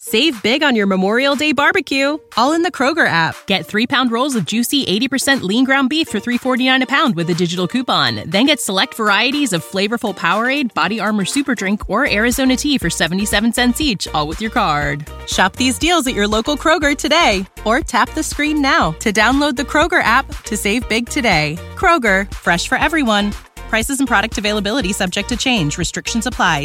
Save big on your Memorial Day barbecue, all in the Kroger app. Get three pound rolls of juicy 80% lean ground beef for 3.49 a pound with a digital coupon. Then get select varieties of flavorful Powerade, Body Armor Super Drink, or Arizona tea for 77 cents each, all with your card. Shop these deals at your local Kroger today, or tap the screen now to download the Kroger app to save big today. Kroger, fresh for everyone. Prices and product availability subject to change, restrictions apply.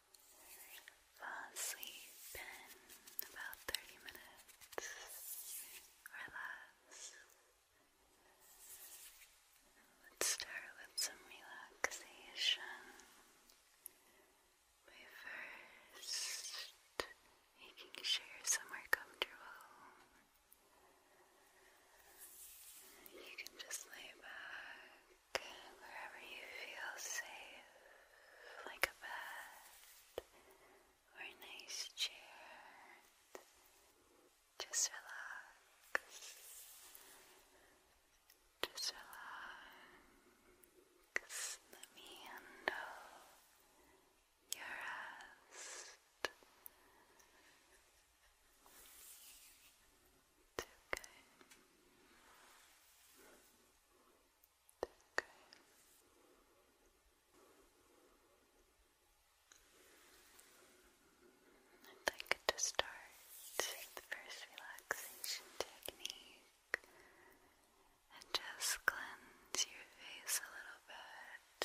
Fall asleep in about 30 minutes. Relax. Let's start with some relaxation by first making sure somewhere comfortable. You can just lay back wherever you feel safe, like a bed or a nice chair. Just relax. Just relax. Let me handle your rest. It's okay. I'd like to start with the first relaxation technique and just cleanse your face a little bit.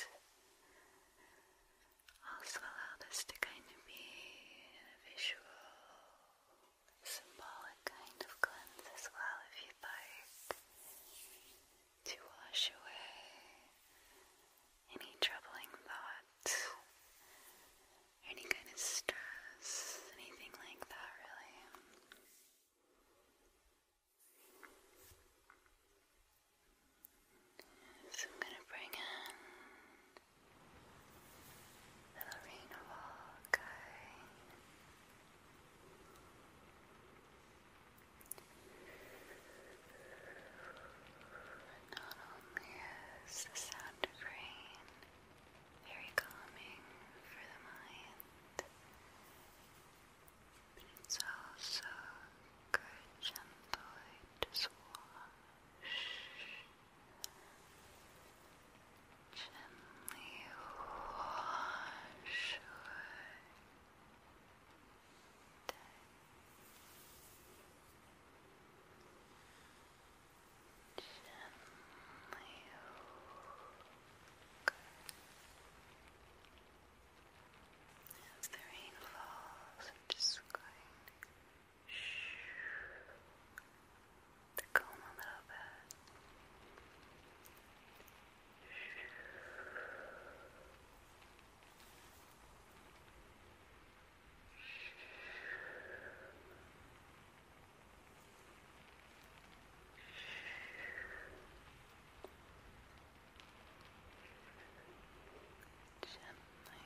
Also allow this to kind of be a visual symbolic kind of cleanse as well, if you'd like, to wash away any troubling thoughts, any kind of stress, anything like that, really. So I'm going to bring in Little rain walk. Not only is the sound of rain very calming for the mind, but it's also good, gentle to swash Gently wash away day. Gently as the rain falls, I'm just going the comb a little Gently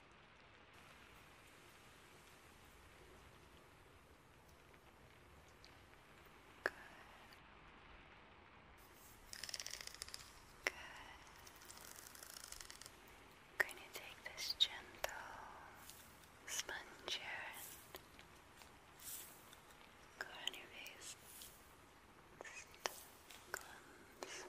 Good. Good. going to take this gentle sponge here and go on your face. Just cleanse.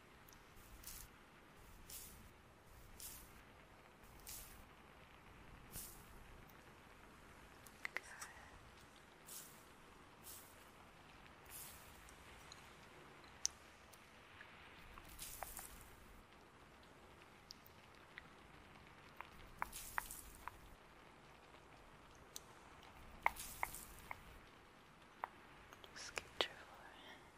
Just get your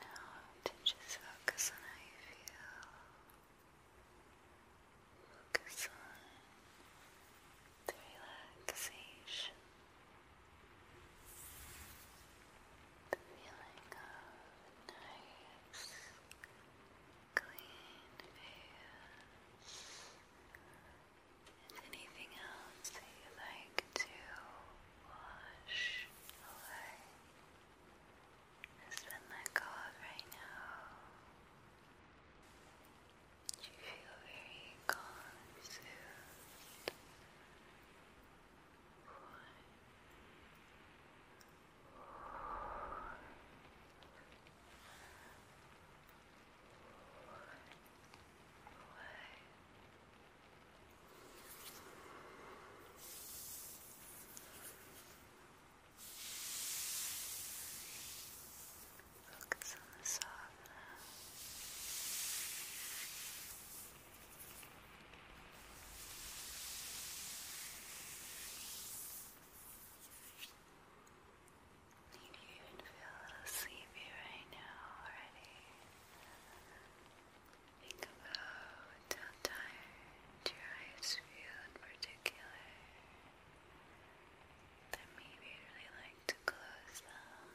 Now to just focus on how you feel. Focus on the relaxation, the feeling of nice, clean face. And anything else that you like to wash away. It's been like God right now. You feel very calm and Focus on the softness. Do you even feel sleepy right now already? Think about how tired your eyes feel in particular. That maybe you'd like to close them.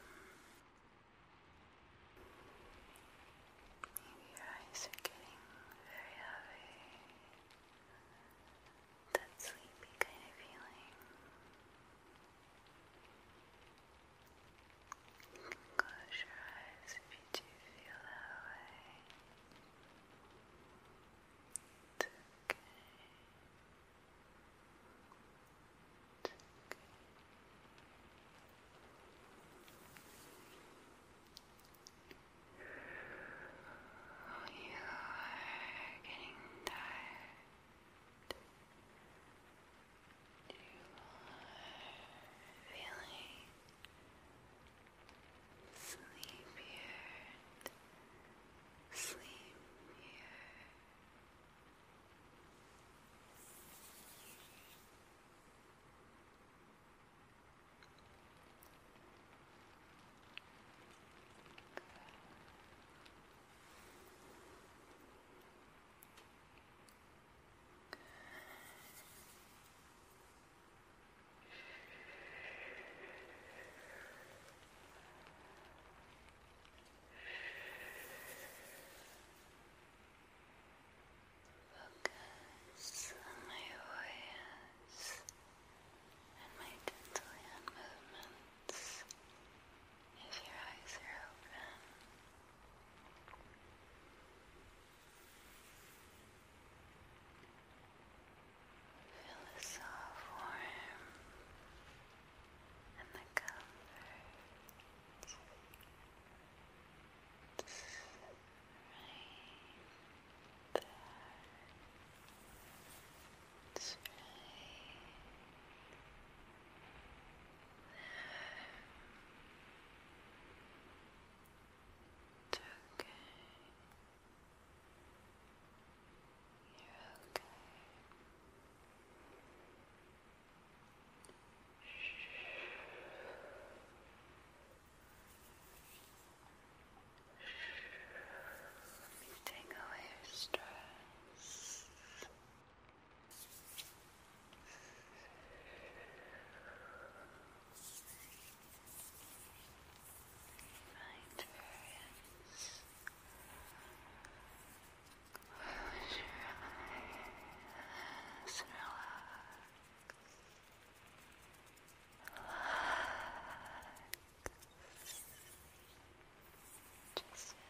Maybe your eyes are getting very heavy. That sleepy kind of feeling. Close your eyes if you do you feel that way? okay. okay. you are getting tired. You are feeling Sleep here. Good. Good. Focus on my voice and my gentle hand movements if your eyes are open. Feel and the comfort. Right there. It's there. It's okay. You're okay. Let me take away stress. Right, friends. Close your eyes. Relax. Relax. Just relax.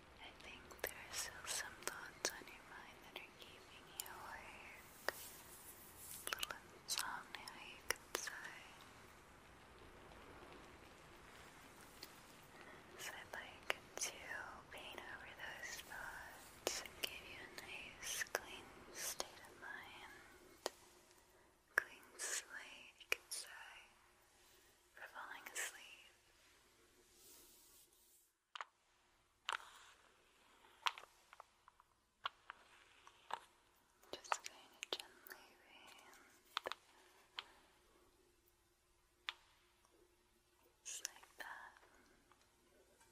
I think there are still some thoughts on your mind that are keeping you awake. A little insomnia, So I'd like to paint over those thoughts and give you a nice, clean state of mind. Clean slate, you could for falling asleep. Just going to gently bend just like that. Just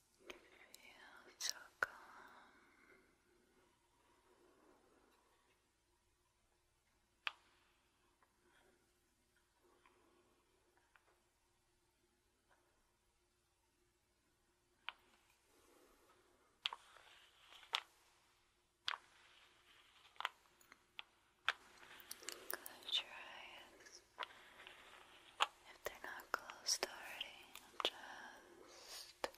Feel so calm. Close your eyes. If they're not closed already, just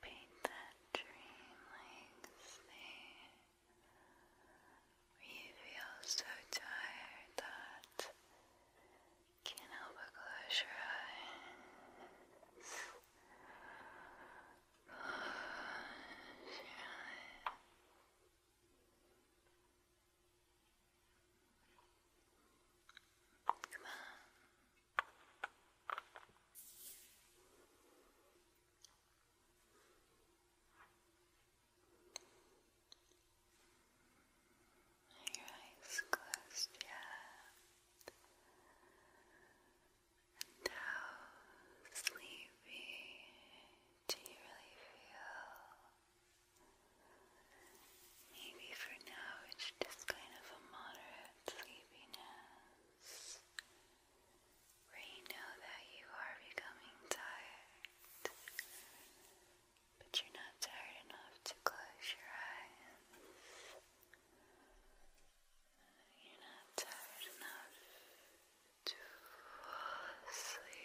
paint that dream like you feel so tired that can't help but close your eyes. Close your eyes. Come on. Are your eyes closed yet? how sleepy do you really feel? Maybe for now it's just kind of a moderate sleepiness where know that you are becoming tired, but you're not tired enough to close your eyes. You're not tired enough to sleep.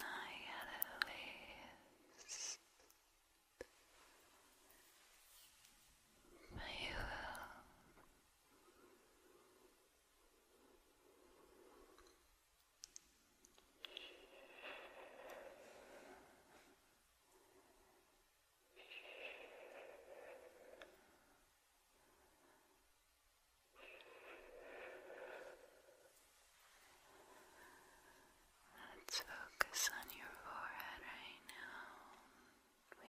I had at least. But you will.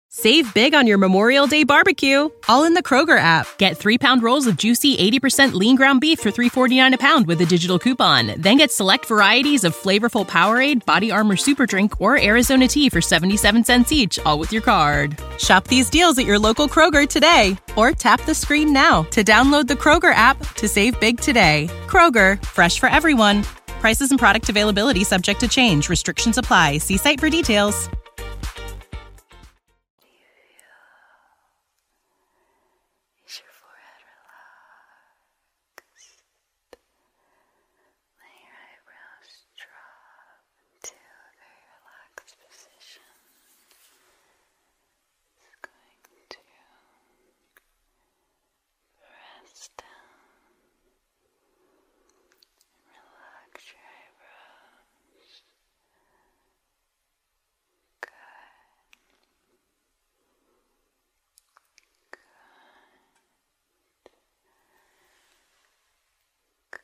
Save big on your Memorial Day barbecue, all in the Kroger app. Get three pound rolls of juicy 80% lean ground beef for 3.49 a pound with a digital coupon. Then get select varieties of flavorful Powerade, Body Armor Super Drink, or Arizona tea for 77 cents each, all with your card. Shop these deals at your local Kroger today or tap the screen now to download the Kroger app to save big today. Kroger, fresh for everyone. Prices and product availability subject to change. Restrictions apply. See site for details into a very relaxed position. It's going to rest down and relax your eyebrows. Good. Good. Good.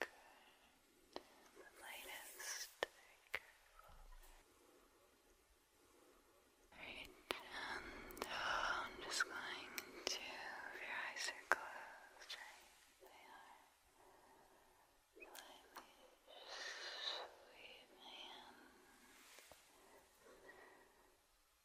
Good. The lightest. Careful. Very gentle. I'm just going to, your eyes are closed, They are. Slightly sweep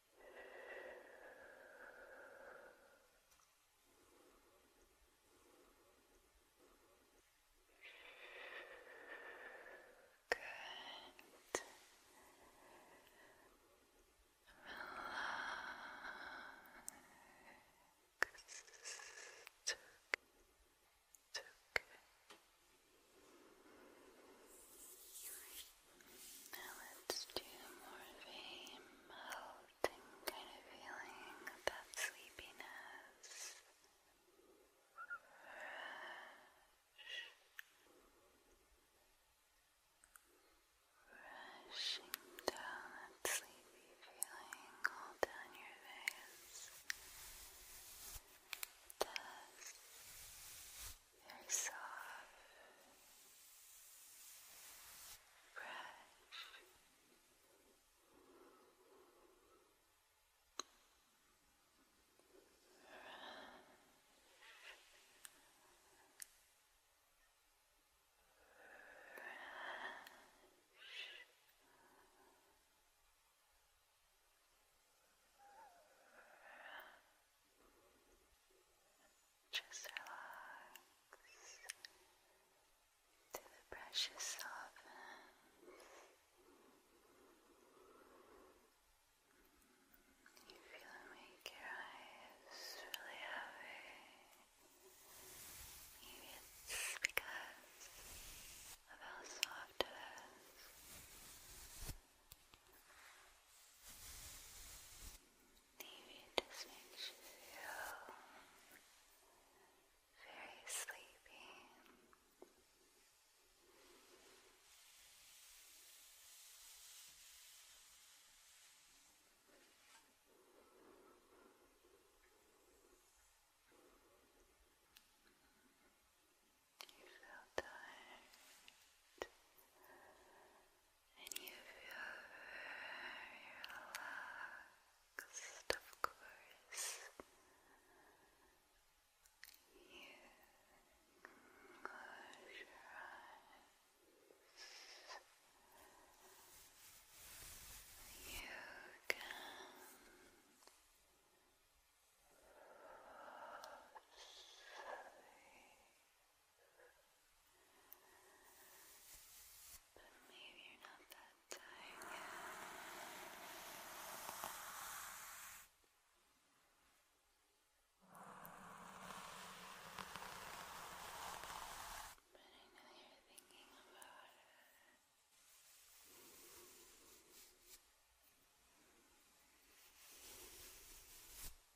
Good. Relaxed. Okay. Now let's do more of melting kind of feeling that sleepiness. Rush. Rushing down that sleepy feeling all down your face very soft, brush. Brush. Brush. Just relax till the pressure softens. You feel make your eyes really heavy. it's because of how soft it is. Maybe it just makes you feel very sleepy. You feel tired and you feel of course. You close your eyes. You can fall asleep. But maybe you're not that tired yet. But I know you're thinking about it. Maybe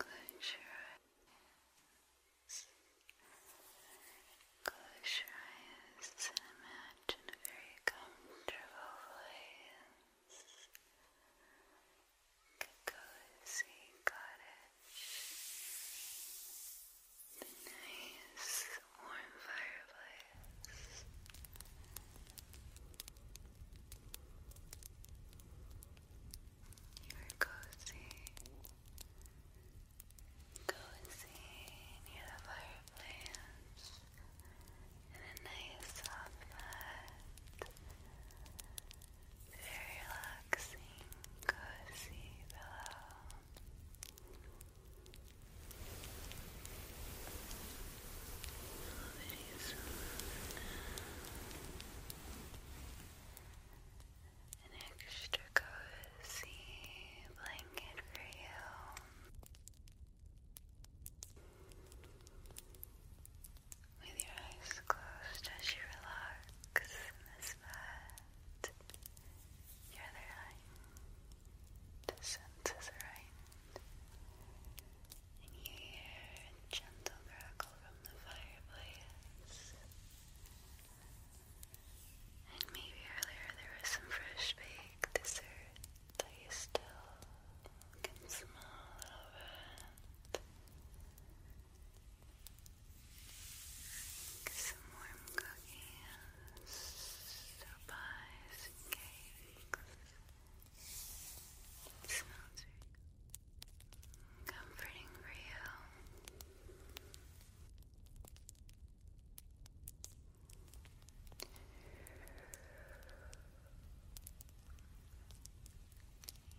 Close your eyes. Close your eyes imagine a very comfortable place. A cozy cottage. A nice warm fireplace. You're cozy, cozy near the fireplace in a nice soft mat. Very relaxing, cozy pillow always an extra cozy blanket for you. With your eyes closed as you relax in this bed, your other eye, the senses are right. And you hear a gentle crackle from the fireplace. And maybe earlier there was some fresh baked dessert that you still can smell Some warm cookies, pies, cakes. It smells very comforting for you.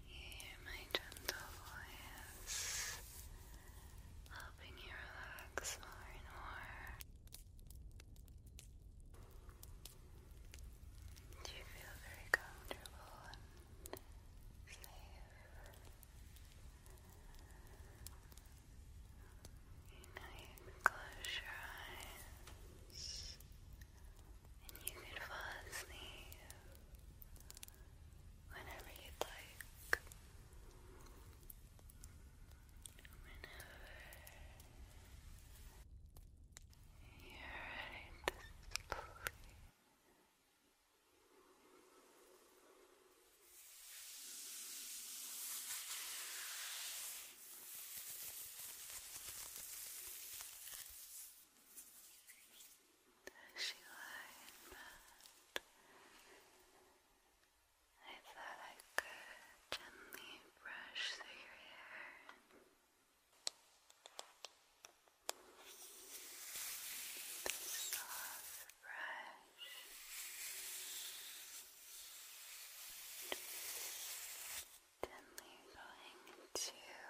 Hear my gentle voice helping you relax more and more. Do you feel very comfortable and safe? Now you can close your eyes and you can fall asleep whenever you'd like. Whenever. You're ready to sleep. As you lie I thought I could gently brush through your hair the soft brush gently going to brush here.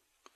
Carefully.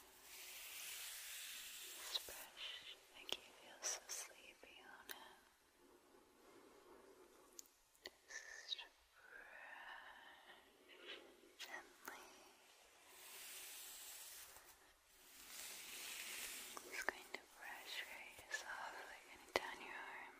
It's fresh, like you feel so sleepy on it. Just brush gently. just going to brush right softly and down your arm.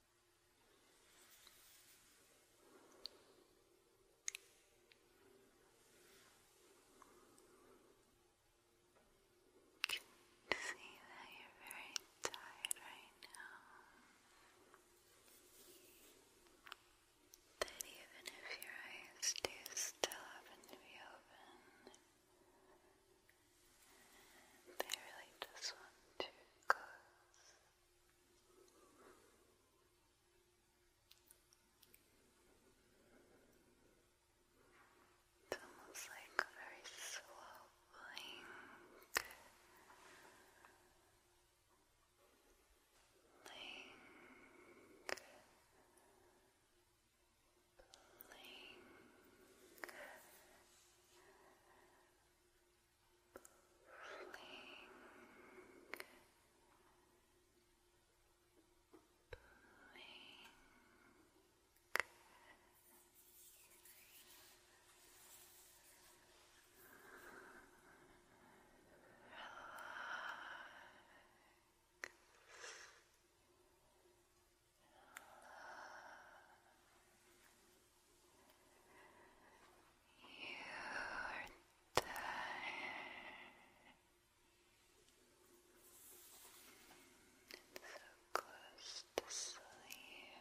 can see that you're very tired right now. That even if your eyes do still happen to be open, they really just want to close. It's almost like very slow Blink. Blink. Blink blink, blink. Relax. Relax. You're tired. So close to sleep. you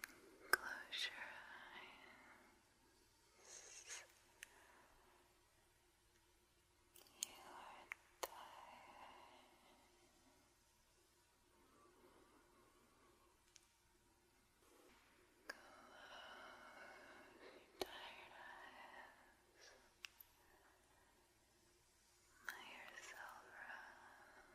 Close your eyes. You are tired. Close your tired eyes yourself rest. Relax.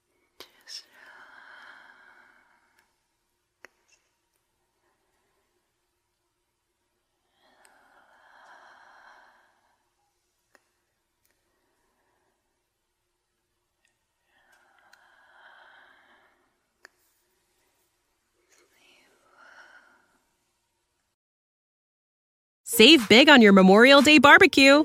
Save big on your Memorial Day barbecue